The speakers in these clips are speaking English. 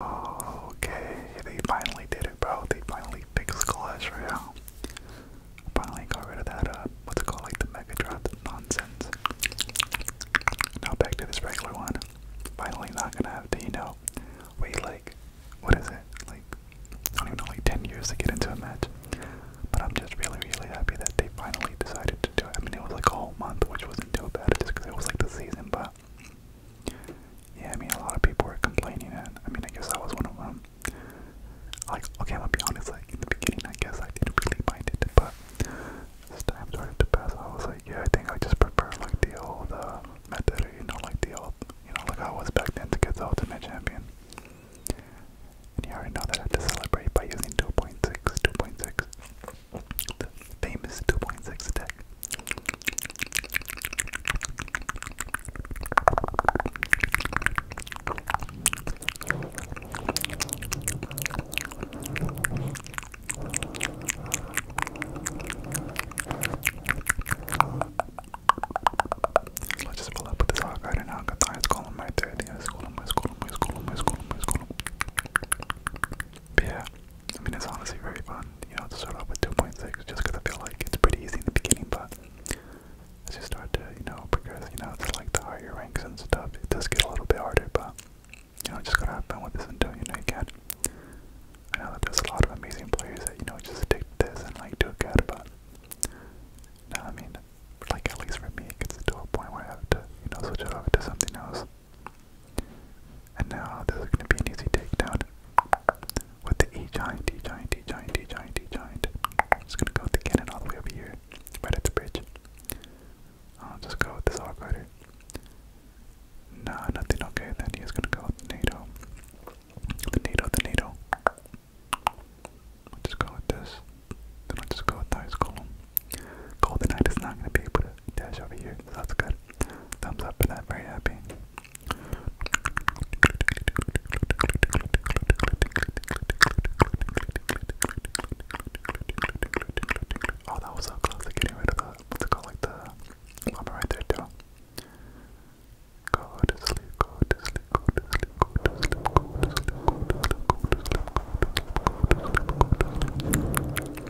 Okay, they finally did it, bro. They finally fixed Clash Royale. Finally got rid of that, uh, what's it called, like the Mega nonsense. Now back to this regular one. Finally not gonna have to, you know, wait like, what is it, like, I don't even like 10 years to get into a match. But I'm just really, really happy that they finally decided to do it. I mean, it was like a whole month, which wasn't too bad, just because it was like the season, but yeah, I mean, a lot of people were complaining, and I mean, I guess I was one of them. Like, okay, I'm gonna be honest, like, in the beginning, I guess I didn't really mind it, but as time started to pass, I was like, yeah, I think I just prefer, like, the old uh, method, you know, like the old, you know, like I was back then to get the Ultimate Champion. And you already know that I had to celebrate by using 2.6, 2.6. The famous 2.6 attack. Let's just pull up with this hog right now. I got the highest column right there. The highest column, highest column, highest column, highest column, highest column. But yeah, I mean, it's honestly very fun, you know, to start off with 2.6 just because I feel like it's pretty easy in the beginning, but as you start to, you know, progress, you know, to like the higher ranks and stuff, it does get a little bit harder, but, you know, just gotta have fun with this until, you know, you can. I know that there's a lot of amazing players that, you know, just stick to this and, like, do good, but, no, I mean, like, at least for me, it gets to a point where I have to, you know, switch it over to something else. And now this is going to be an easy takedown with the E giant, E giant, E giant, E giant, E giant. Just going to go with the cannon all the way over here, right at the bridge. I'll just go with this hog rider. Nah, nothing okay. Then he's going to go with the NATO. The NATO, the NATO. I'll just go with this. Then I'll just go with the ice golem. Golden Knight is not going to be able to that's over here. that's good. Thumbs up for that. Very happy. Oh, that was so close getting rid of the what's it called, like the mama right there too. to sleep, go to sleep, go to sleep, go to sleep, go to sleep, go to sleep.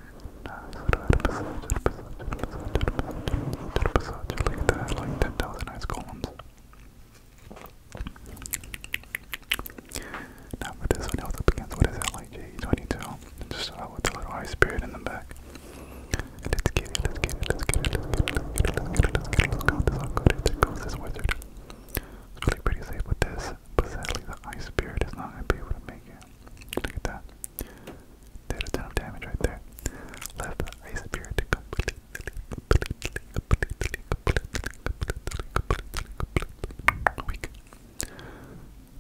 Like that, like 10,000 ice columns. Now for this one, I was up against what is that, like JE22? Just start out with a little ice spirit in the back. Let's get it, let's get it, let's get it, let's get it, let's get it, let's get it, let's go. This all good, there goes this wizard. It's really pretty safe with this, but sadly the ice spirit is not going to be able to make it. Look at that. Did a ton of damage right there. Left Ice Spear to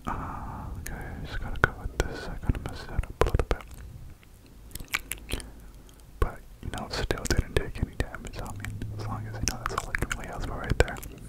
uh, okay, just gotta go with this. I gotta mess it up a little bit. But, you know, still didn't take any damage. I mean, as long as, you know, that's all I can lay out right there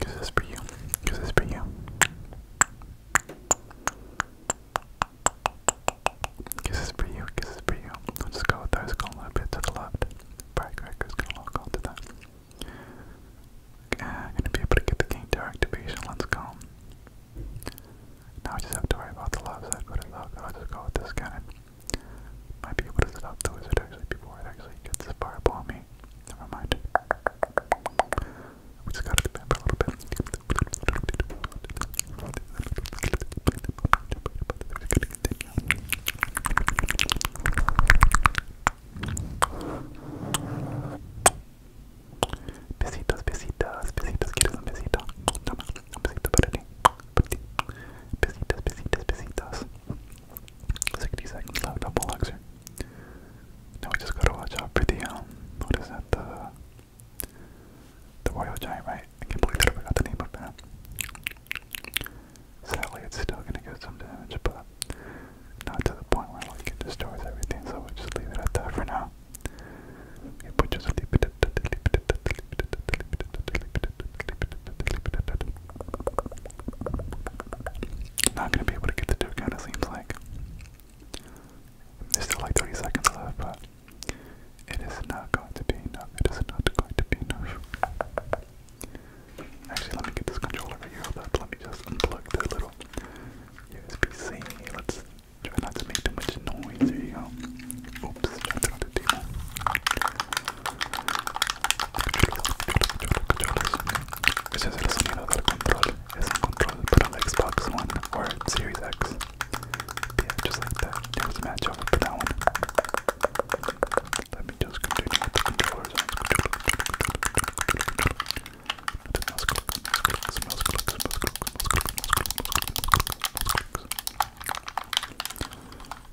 Cause it's for you. Cause it's for you. Cause it's for you. Cause it's for you. I'll just go with those going a little bit to the left. Firecracker's gonna lock onto that. Uh, gonna be able to get the game to activation. Let's go. Now I just have to worry about the left side, but I'll just go with this cannon. Might be able to stop the wizard actually before it actually gets the fireball me. Never mind. We just gotta do that for a little bit. Besitos, besitos, besitos, ¿quieres un besito? Toma, un besito para ti. Besitos, besitos, besitos. 60 seconds left, double luxury. Now we just gotta watch out for the, um, what is that, the, the royal giant, right? I can't believe I forgot the name of that. Sadly, it's still gonna get some damage, but not to the point where, like, it destroys everything, so we'll just leave it at that for now. Not gonna be able to get the two count, it seems like. There's still like 30 seconds left, but it is not going to be enough. It is not going to be enough. Actually, let me get this controller right here. Hold Let me just unplug this little USB-C. Let's try not to make too much noise. There you go. Oops. Try to turn on Ese es el sonido del control. Es un control for an Xbox One or Series X. Yeah, just like that. There's a match over for that one. Let me just continue with the controllers.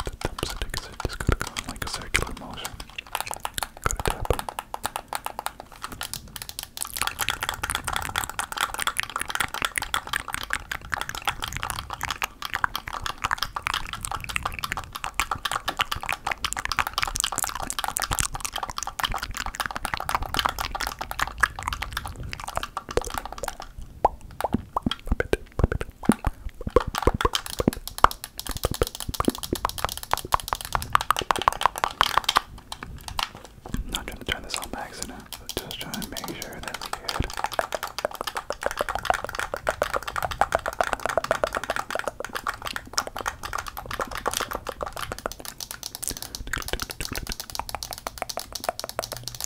The thumbs stick is just gotta go in like a circular motion. Gotta tap them. Puppet, puppet, not trying to turn this on by accident, but just trying to make sure that's good.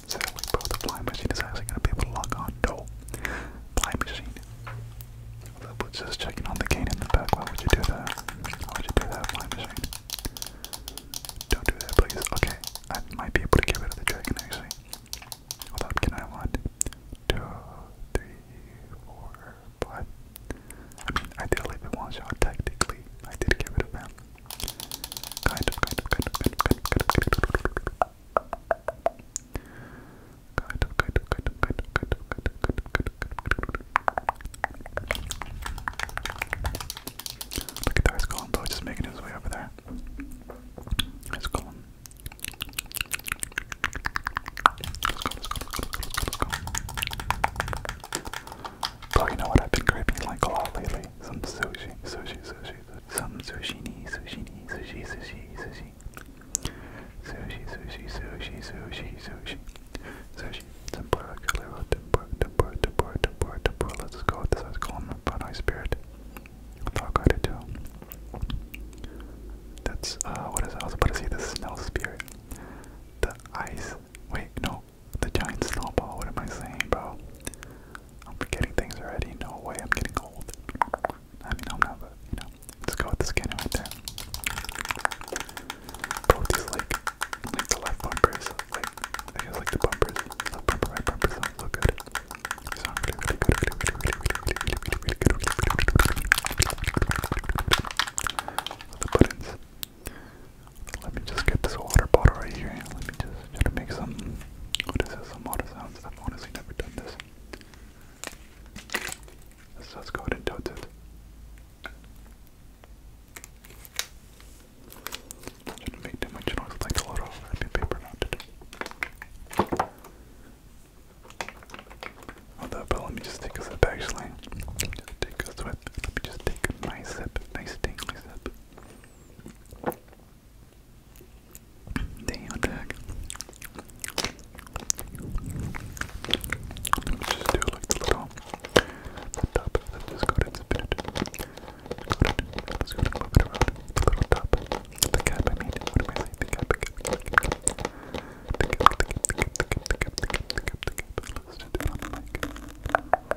Sadly, bro, the flying machine is actually gonna be able to log on. No, flying machine. The blitz is checking on the gain in the back. Why would you do that? Why would you do that, flying machine? Don't do that, please. Okay, I might be able to get rid of the dragon actually. Hold up, can I one, two, three, four, five? I mean, I did leave it one shot technically. I did get rid of him. Kind of, kind of, kind of, kind of, kind of, kind of, kind of, Look at that, it's Colin Bow just making his way over there. It's Colin. Bro, you know what I've been craving like a lot lately? Some sushi, sushi, sushi good. Some sushini, sushini, sushi, sushi, sushi. Sushi, sushi, sushi, sushi, sushi. Sushi. Tempura, calero, tempura, tempura, tempura, tempura, tempura. Let's go. This has calm but high spirit. Fuck, I did too. That's, uh, what is it? I was about to say the smell spirit. The ice. Wait, no. The giant snowball. What am I saying, bro? I'm forgetting things already. No way, I'm getting old. I know, I'm not, but you know, let's go with the scanner right there. Both these like, like the left bumpers, like I guess like the bumpers, left bumper, right bumper sound so good. They sound really, really good, really, really, really, really, really, really, really good. So the buttons. Let me just get this water bottle right here. Let me just try to make some what is this? Some auto sounds. I've honestly never done this. Let's, let go ahead and tote it. i to make too like a lot of paper not to do. but let me just take a sip actually. just take a sip. Let me just take a nice sip. Nice tingly sip. Damn, what the heck? Let's just do like the little the top. Let's go ahead and spin Let's go ahead The little top. The cap, I mean. The cap, the cap, the cap. The cap, the cap, the cap, the cap, the cap, Let's do it on the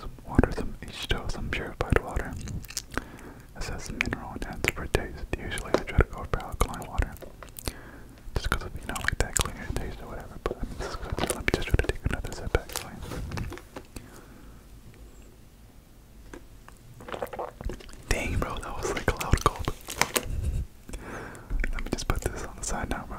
some water, some H2O, some purified water. It says mineral content for taste. Usually I try to go for alkaline water. Just because of, you know, like that cleaner taste or whatever, but Let me just try take another sip actually. Dang, bro, that was like a loud gulp. Let me just put this on the side now, bro.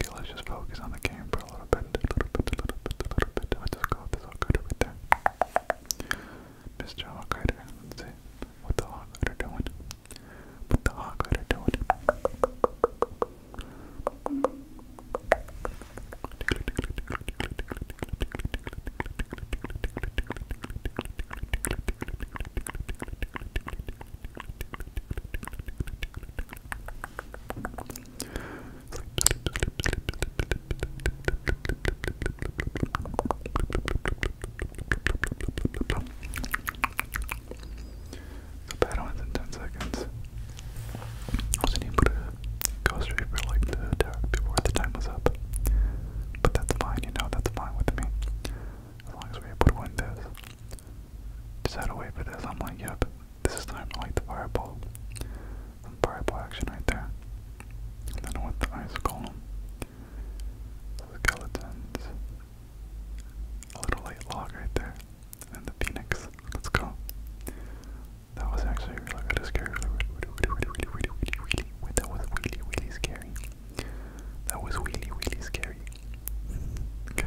Okay, let's just focus on the camera a little bit, a little bit, a little bit, a little bit. Let's just go with this Hawkrider right there. Mr. Hawkrider, let's see what the Hawkrider doing. What the Hawkrider doing. The battle ends in 10 seconds. I wasn't able to go straight for like the before the time was up. But that's fine, you know, that's fine with me. As long as we're able to Decide to wait for this. I'm like, yep, this is time to light the fireball. Some fireball action right there. And then want the ice golem. Skeletons. A little light log right there. And the phoenix. Let's go. That was actually really, really scary. That was really, really scary. That was really, really scary. Okay.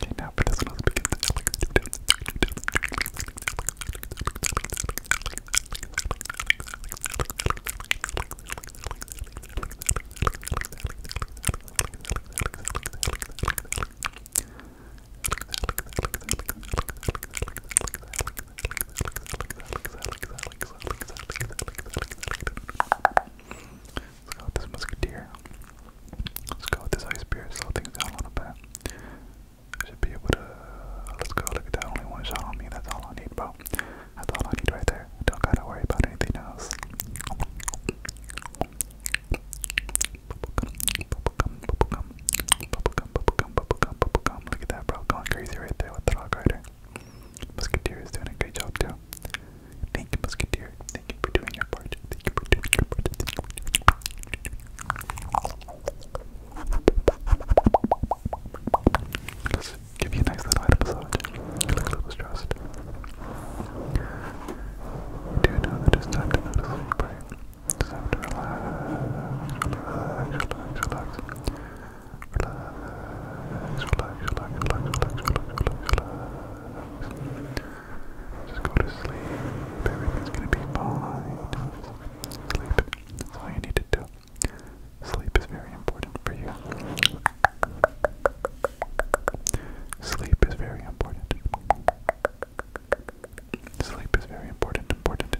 Okay, now for this one, let's begin. Let's go with this musketeer. Let's go with this ice spear, slow things down a little bit. I should be able to. Let's go. Look at that. Only one shot on me. That's all I need, bro. That's all I need right there. don't gotta worry about anything else. Look at that, bro. Going crazy right there with the dog rider. Musketeer is doing a great job too. Thank you, Musketeer. Thank you for doing your part. Thank you for doing your part. Just give you a nice little head massage. You look a little stressed. You know that it's time to go to sleep, right? Just have to relax. Relax, relax, relax, relax, relax, relax, relax, relax. Just go to sleep. Everything's gonna be fine. Sleep. That's all you need to do. Sleep is very important for you. Sleep is very important. Sleep is very important. Important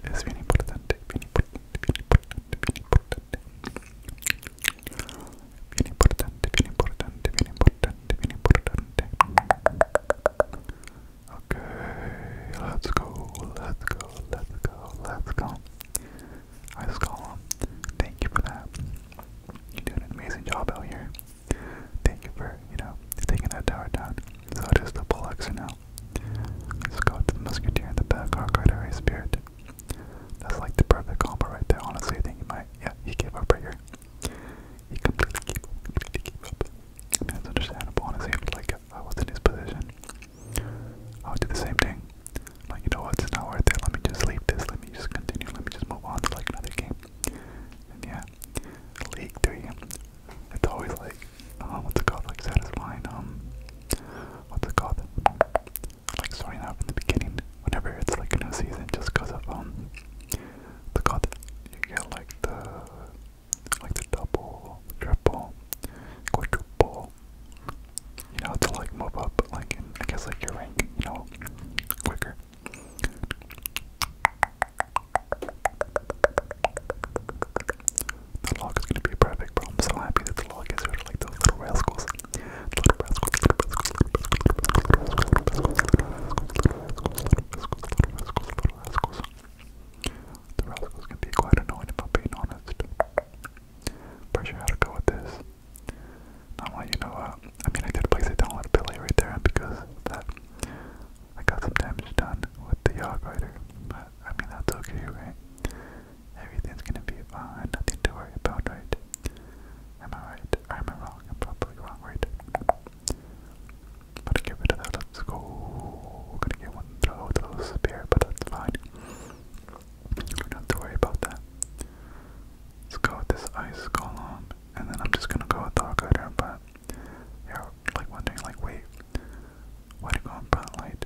Bien importante, bien importante, bien importante, bien importante. Okay, let's go, let's go, let's go, let's go. I just got. him. Thank you for that. You're doing an amazing job out here. Thank you for, you know, taking that tower down. So it is the Pulloxer now. Let's go the Musketeer in the back, our Spirit. That's like the perfect combo right there. Honestly, I think he might. Yeah, he gave up right here. He completely gave up. Completely gave up. I mean, that's understandable. Honestly, if, like if I was in his position, I would do the same thing. Like, you know what? It's not worth it. Let me just leave this. Let me just continue. Let me just move on to like another game. And yeah, League Three. It's always like, um, what's it called? Like satisfying. Um, what's it called? like starting out in the beginning, whenever it's like a new season, just because of um the content you get like the like the double, triple, quadruple. You know, to like move up, like I guess like your rank, you know, quicker. The log is gonna be perfect, I'm so happy that the log is sort like those little rascals. The rascals can be quite annoying if I'm being honest. Pretty sure how to go with this. Not want you know, uh, I mean, I did place it down with right there, because that, I got some damage done with the Yog Rider. But, I mean, that's okay, right? Everything's gonna be fine, nothing to worry about, right? Am I right? am I wrong? I'm probably wrong, right? But get rid of that, let's go. gonna get one throw with a little but that's fine. not to worry about that. Let's go with this ice column, and then I'm just gonna go with Dark Rider, but you're like wondering, like, wait, why do you go in front light?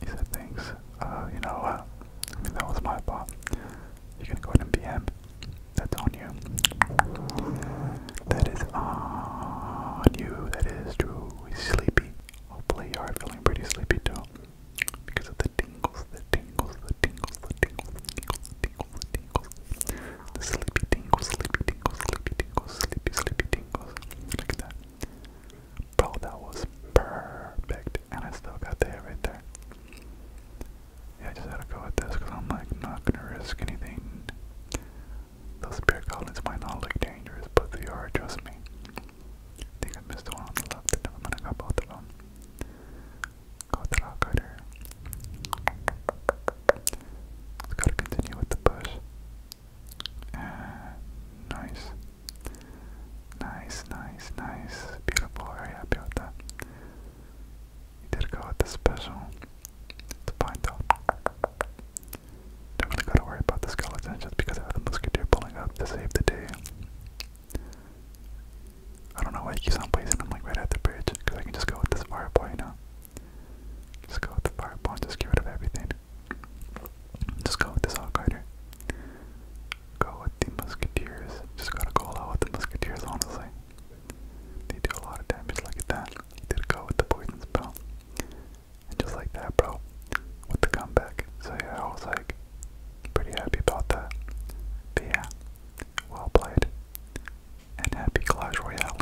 he said, thanks. Uh, you know uh, that was my fault. You can go ahead and PM. That's on you. That is on you. That is true. sleepy. Hopefully you are feeling pretty sleepy too. Because of the tingles, the tingles, the tingles, the tingles, the tingles, the tingles, the tingles. sleepy tingles, sleepy tingles, sleepy tingles, sleepy, sleepy tingles. Look at that. Bro, that was perfect, and I still got the hit right there. Yeah, I just got to go with this because I'm like not gonna risk anything. Those spear goblins might not look dangerous, but they are, trust me. I think I missed the one on the left, never mind, I got both of them. Got the rock cutter. gotta continue with the push. Uh, nice. Nice, nice, nice. Beautiful. area, happy with that. You did go with the special. It's fine though. Don't really gotta worry about the skeleton just because I have the musketeer pulling up to save the day. I don't know why I keep on placing them like right at the bridge because I can just go with this fireboy now. Just go with the Firepawn, just get rid of everything. Just go with this Hawk Rider. Go with the Musketeers. Just gotta go all out with the Musketeers, honestly. They do a lot of damage, look at that. did go with the Poison Spell. And just like that, bro, with the comeback. So yeah, I was like, pretty happy about that. But yeah, well played. And happy Clash Royale.